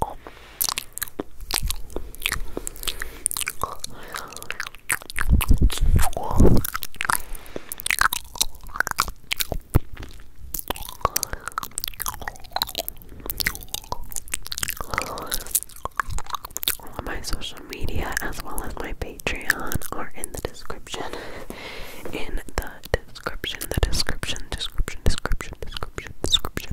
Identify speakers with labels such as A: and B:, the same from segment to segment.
A: All of my social media as well as my Patreon are in the description in the description, the description, description, description, description, description, description.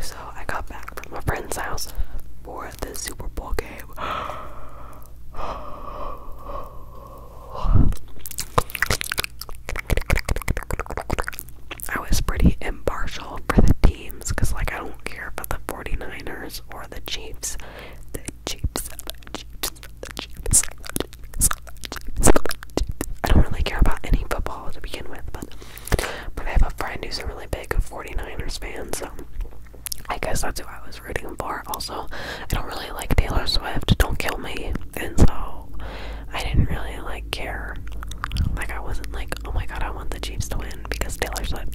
A: so I got back from my friend's house for the Super Bowl game. I was pretty impartial for the teams because, like, I don't care about the 49ers or the Chiefs. the Chiefs, the Chiefs. I don't really care about any football to begin with, but but I have a friend who's a really big 49ers fan, so I guess that's who I was rooting for. Also, I don't really like Taylor Swift, don't kill me. And so I didn't really like care. Like, I wasn't like, oh my god, I want the Jeeps to win because Taylor Swift.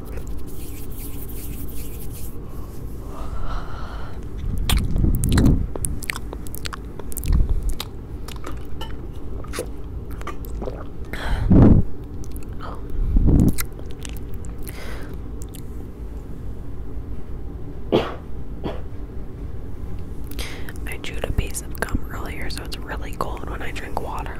A: I chewed a piece of gum earlier, so it's really cold when I drink water.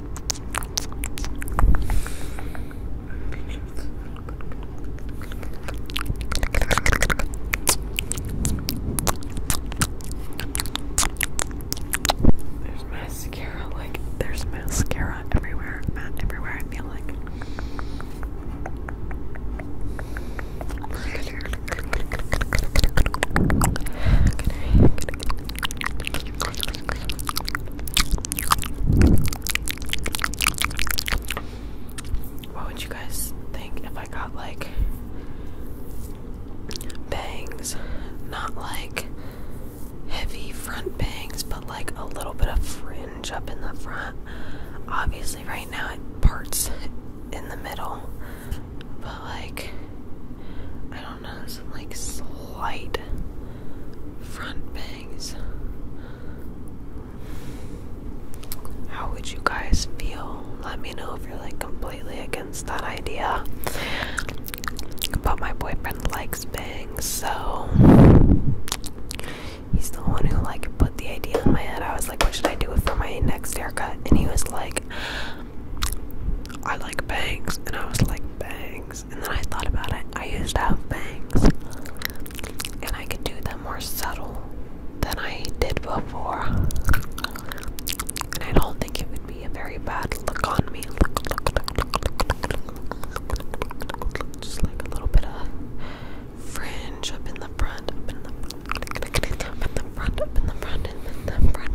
A: There's mascara, like there's mascara everywhere, everywhere. I feel like. What would you guys think if I got like bangs? Not like heavy front bangs, but like a little bit of fringe up in the front. Obviously, right now it parts in the middle, but like like slight front bangs. How would you guys feel? Let me know if you're like completely against that idea. But my boyfriend likes bangs, so he's the one who like put the idea in my head. I was like, what should I do for my next haircut? And he was like, I like bangs, and I was like, bangs. And then I thought about it, I used to have bangs, and I could do them more subtle than I did before. And I don't think it would be a very bad look on me. Just like a little bit of fringe up in the front, up in the front, up in the front, up in the front, up in the front,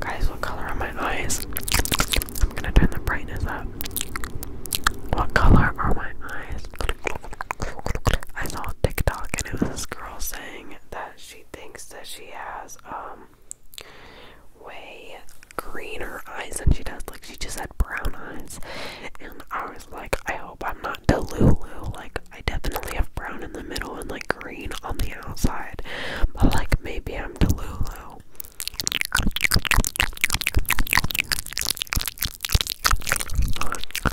A: Guys, what color are my eyes? I'm gonna turn the brightness up. What color are my eyes? I saw TikTok and it was this girl saying that she thinks that she has um way greener eyes than she does. Like she just had brown eyes. And I was like, I hope I'm not Delulu. Like I definitely have brown in the middle and like green on the outside. But like maybe I'm Delulu.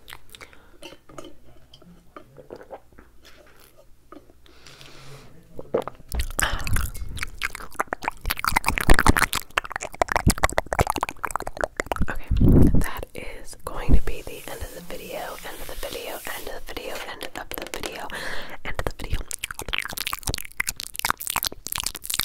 A: Okay, that is going to be the end of the video, end of the video, end of the video, end of the video, end of the video.